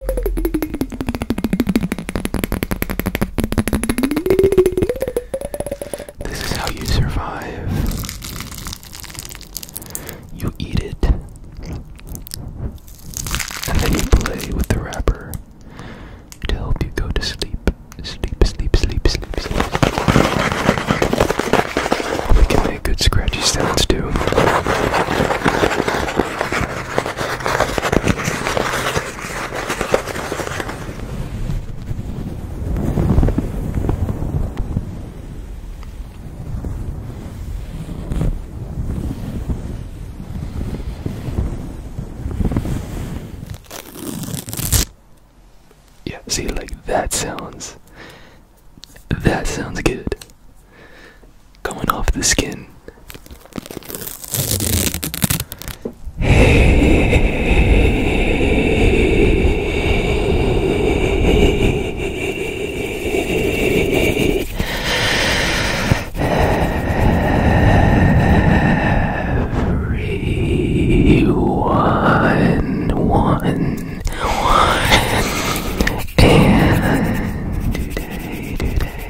This is how you survive. You eat it, and then you play with the wrapper to help you go to sleep. Sleep, sleep, sleep, sleep, We can make good scratchy sounds too. Yeah, see, like that sounds. That sounds good going off the skin. Hey. Everyone, one, one, and today, today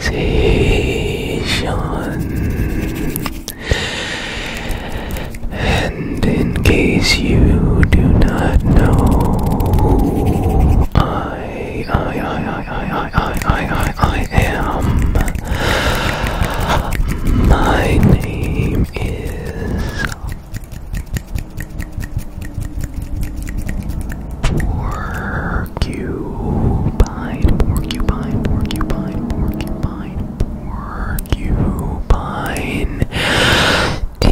station. And in case you do not know, I, I, I, I, I, I, I, I, I am. My name is Porcupine, porcupine, porcupine, porcupine, porcupine. A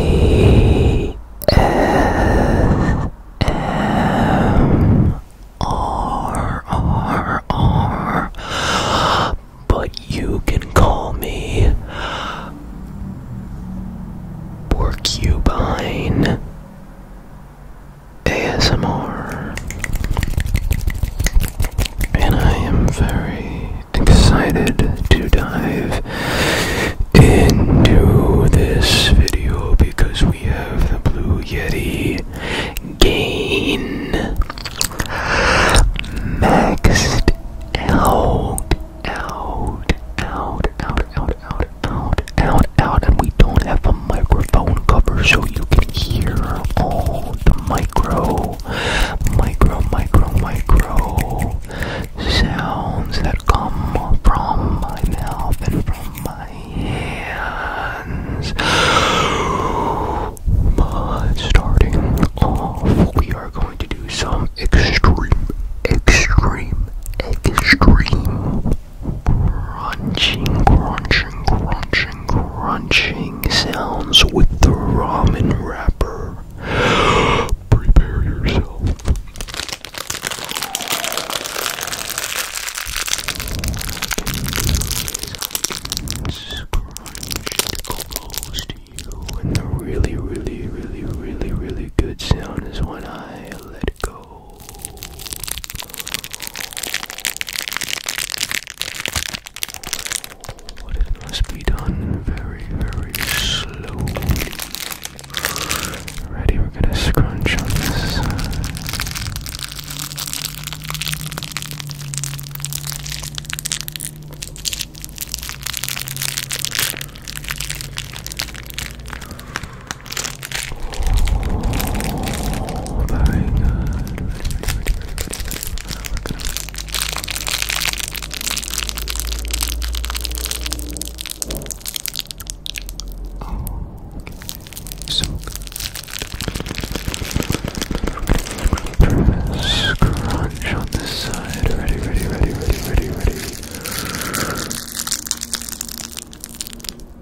S M R R R. But you can call me Porcupine. ASMR, and I am very excited to dive into this video because we have the Blue Yeti game. maxed out, out, out, out, out, out, out, out, out, and we don't have a microphone cover so you can hear all the micro, micro, micro, micro sounds that come from my mouth and from my hands. But starting off, we are going to do some extreme, extreme, extreme crunching, crunching, crunching, crunching sounds with the ramen wrapper. Prepare yourself. Close to you, and the really, really, really, really, really good sound is when I let go go. must be done very, very slowly. Ready, we're gonna scrunch on this Oh my god. Oh, okay. So good. Scrunch on this side. Ready, ready, ready, ready, ready, ready.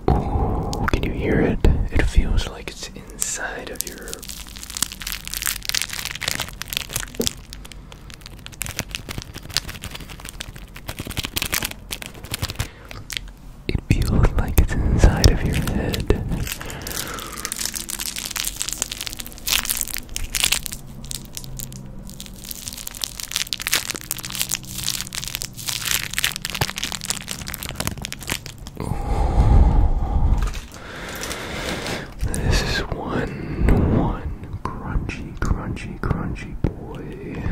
Can you hear it? It feels like it's inside of your. It feels like it's inside of your head. This is one, one crunchy, crunchy, crunchy boy.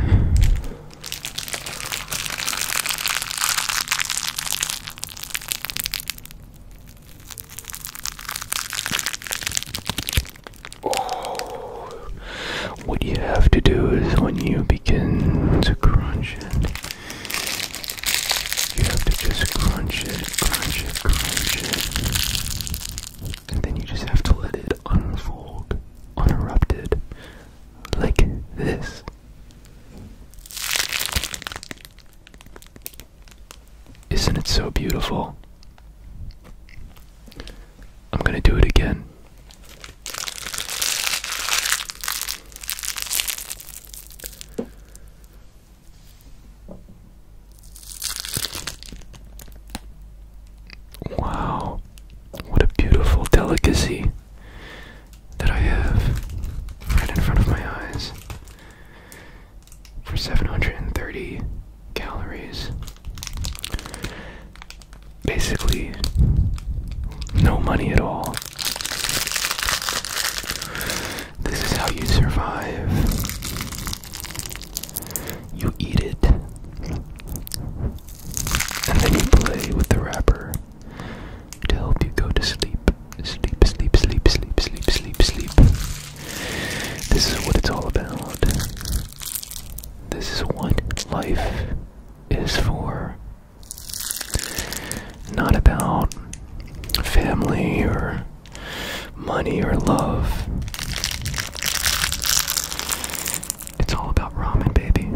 Oh what you have to do is when you begin to crunch it, you have to just crunch it, crunch it, crunch it. And then you just have to let it unfold uninterrupted, like this. Isn't it so beautiful? I'm gonna do it again. Wow, what a beautiful delicacy that I have right in front of my eyes for 730 calories basically no money at all. This is how you survive. You eat it, and then you play with the wrapper to help you go to sleep. Sleep, sleep, sleep, sleep, sleep, sleep, sleep. This is what it's all about. This is what life is for. Not about family or money or love. It's all about ramen, baby.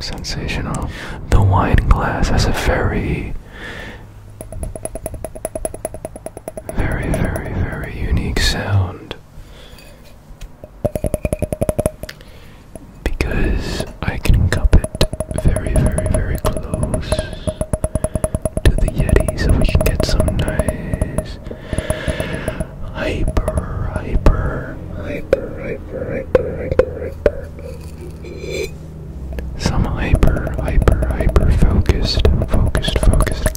Sensational. The wine glass has a very, very, very, very unique sound. Because I can cup it very, very, very close to the Yeti so we can get some nice hyper, hyper, hyper, hyper, hyper, hyper, hyper. Some hyper, hyper, hyper focused, focused, focused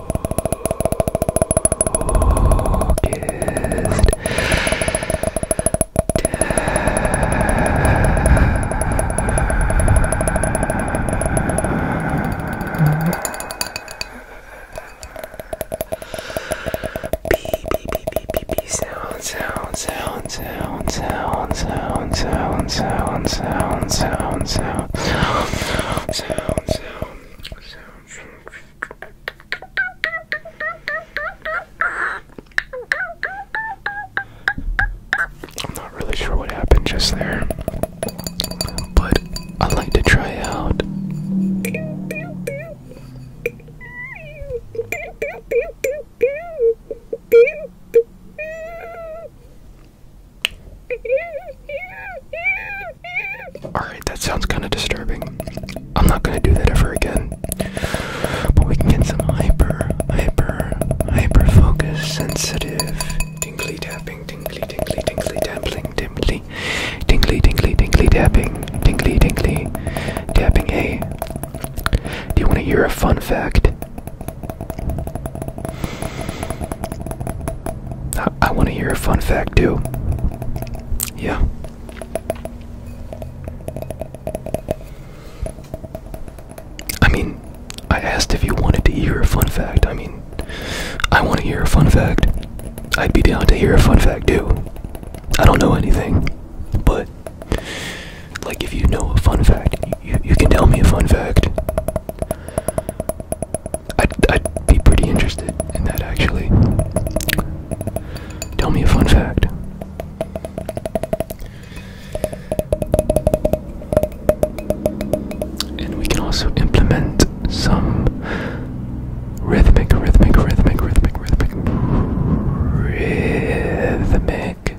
focused sound sound sound sound sound sound sound sound sound sound sound sound sound sound sound I'm not really sure what happened just there, but I'd like to try out. Alright, that sounds kind of disturbing. I'm not gonna do that ever again. But we can get some hyper, hyper, hyper focus, sensitive, tingly tapping, tingly, tingly, tingly, tapping, tingly, tingly, tingly, tingly tapping, tingly, tingly, tapping. Hey, do you want to hear a fun fact? I, want to hear a fun fact too. Yeah. I mean, I asked if you wanted to hear a fun fact. I mean, I want to hear a fun fact. I'd be down to hear a fun fact too. I don't know anything, but like if you know a fun fact, you, you can tell me a fun fact. I'd, be pretty interested in that actually. Tell me a fun fact. And we can also implement some rhythmic, rhythmic, rhythmic, rhythmic, rhythmic, rhythmic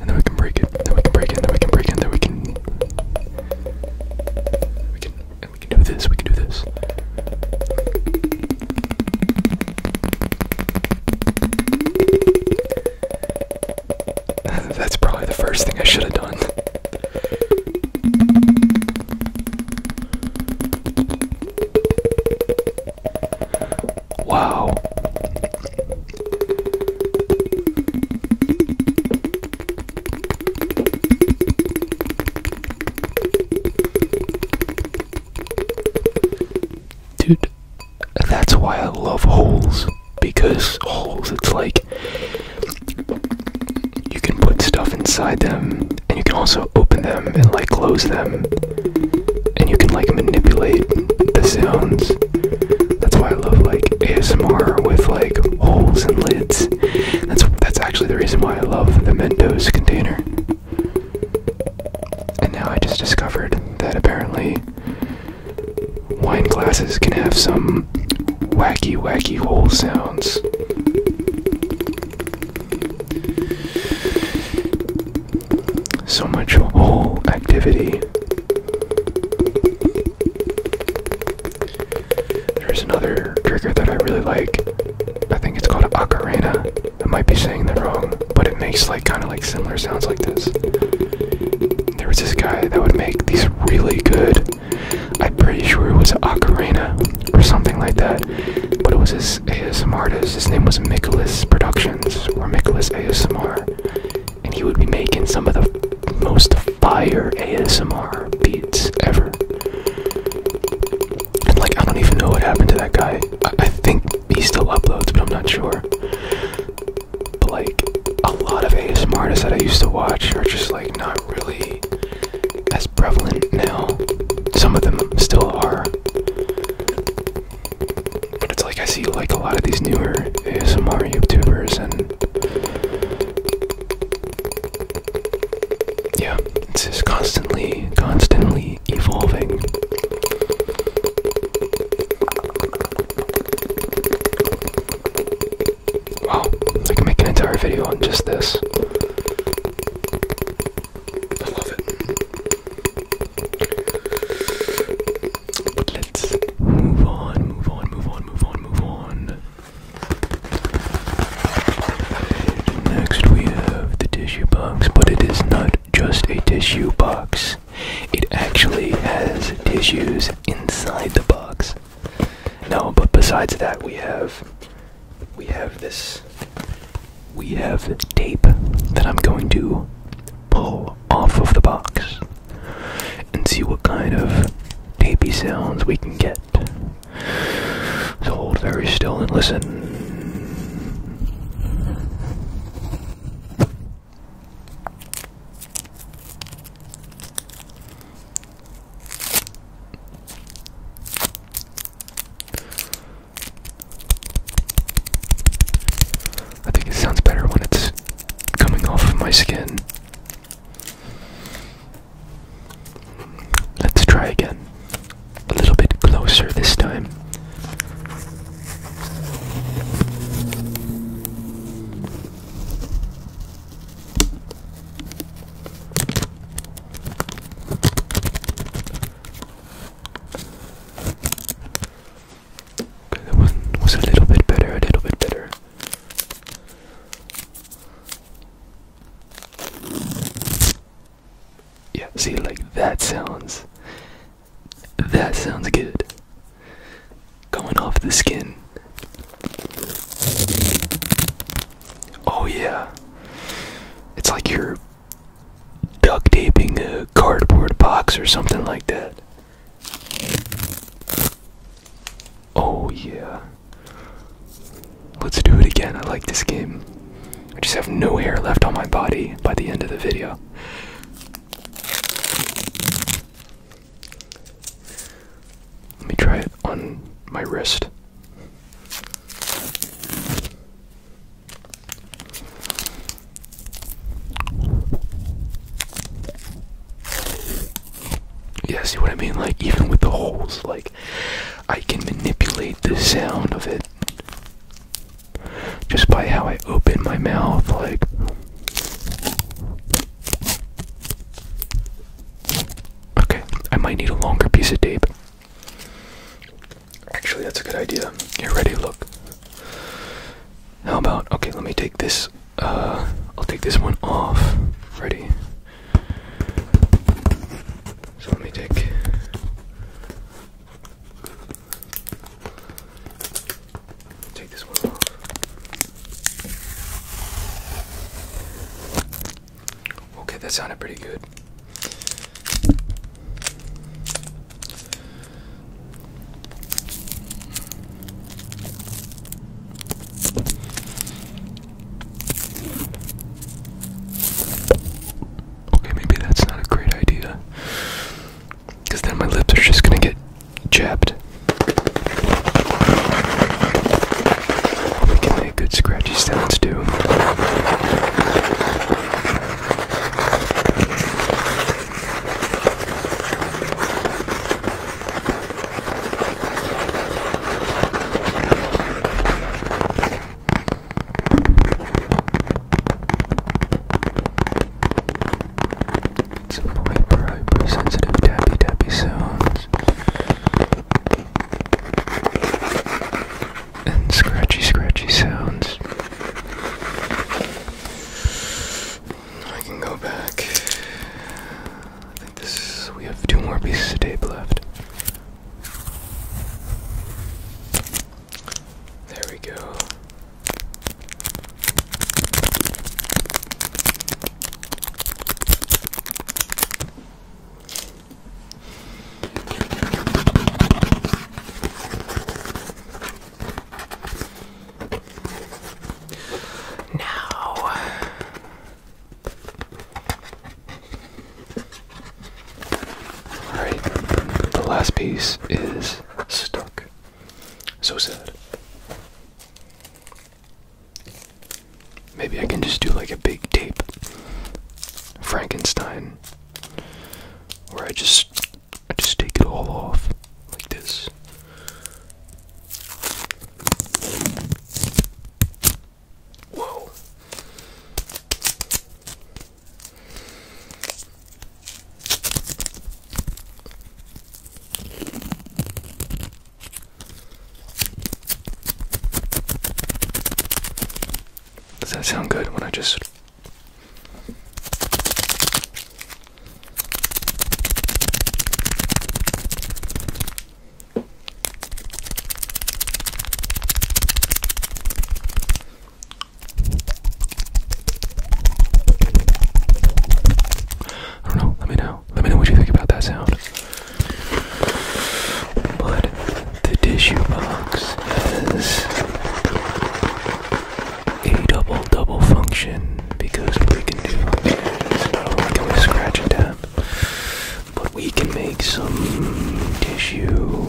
And then we can break it, then we can break it, then we can break it, then we can we can and we can do this, we can do this. That's probably the first thing I should have done. Wow. Dude, that's why I love holes because holes it's like you can put stuff inside them and you can also open them and like close them and you can like manipulate the sounds. That's why I love like ASMR with like holes and lids. That's that's actually the reason why I love the Mentos container. And now I just discovered that apparently wine glasses can have some wacky, wacky hole sounds. So much hole activity. There's another trigger that I really like. I think it's called Ocarina. I might be saying the wrong, but it makes like kind of like similar sounds like this. There was this guy that would make these really good. I'm pretty sure it was an ocarina or something like that, but it was his ASMR artist. His name was Nicholas Productions or Nicholas ASMR, and he would be making some of the most fire ASMR beats ever. And like I don't even know what happened to that guy. I, think he still uploads, but I'm not sure. But like a lot of ASMR that I used to watch are just like not really as prevalent now. Some of them still are. But it's like I see like a lot of these newer ASMR YouTubers and yeah, it's just constantly, constantly evolving. Wow, oh, I can make an entire video on just this. I love it. let's move on, move on, move on, move on, move on. Next, we have the tissue box, but it is not just a tissue box. It actually has tissues inside the box. No, but besides that, we have we have this we have tape that I'm going to pull off of the box and see what kind of tapey sounds we can get. So hold very still and listen. I think it sounds better when it's coming off of my skin. Let's try again. A little bit closer this time that one was a little bit better, a little bit better. Yeah, see, like that sounds that sounds good. Going off the skin. Oh, yeah. It's like you're duct taping a cardboard box or something like that. Oh, yeah. Let's do it again. I like this game. I just have no hair left on my body by the end of the video. Let me try it on my wrist. Yeah, see what I mean? Like, even with the holes, like, I can manipulate the sound of it just by how I open my mouth, like. Okay, I might need a longer piece of tape. Actually, that's a good idea. You're ready, look. How about, okay, let me take this, uh, I'll take this one off. Ready? So let me take Take this one off. Okay, that sounded pretty good. Okay, maybe that's not a great idea. Because then my lips are just gonna get chapped. We can make good scratchy sounds too. Some hyper hyper sensitive tappy tappy sounds and scratchy scratchy sounds. I can go back. I think this we have two more pieces of tape left. There we go. Now the last piece is stuck. So sad. Maybe I can just do like a big tape Frankenstein where I just I just take it all off like this. Whoa. Does that sound good when I just I don't know. Let me know. Let me know what you think about that sound. But the tissue box has a double double function because we can do not only scratch a tap, but we can make some tissue.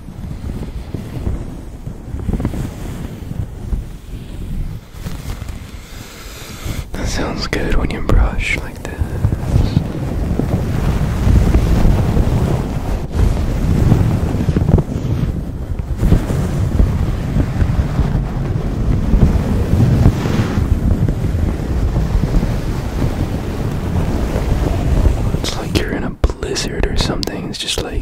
That sounds good when you brush like this. It's like you're in a blizzard or something brain's just like.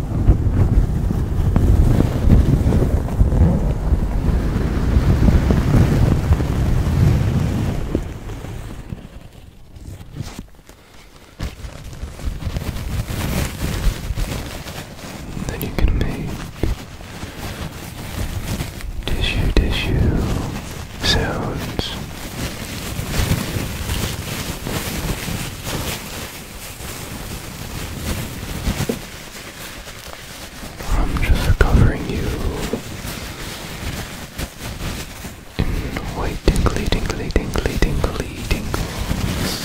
Then you can make tissue tissue sounds. I'm just covering you in white tingly, tingly, tingly, tingly tingles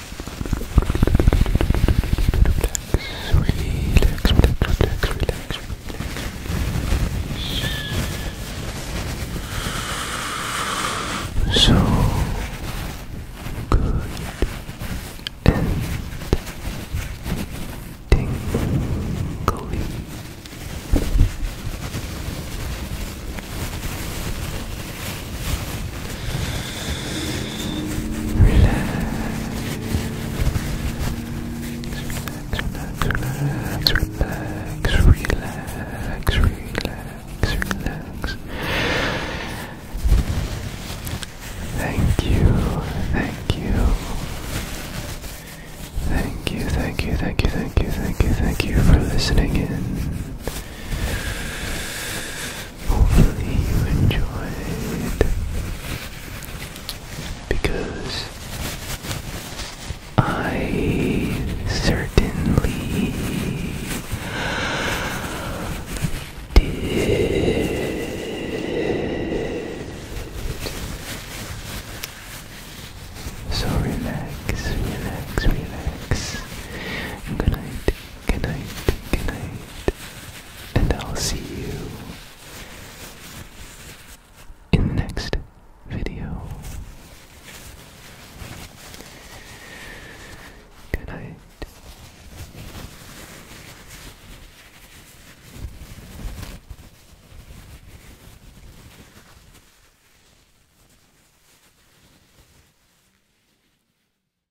relax, relax, relax, relax, relax. So good and tingly relax, relax, relax, relax, relax. Thank you, thank you. Thank you, thank you, thank you, thank you, thank you, thank you for listening in. Hopefully you enjoyed because I certainly did. So relax, relax, relax. Good night, good and I'll see you in the next video. Good night.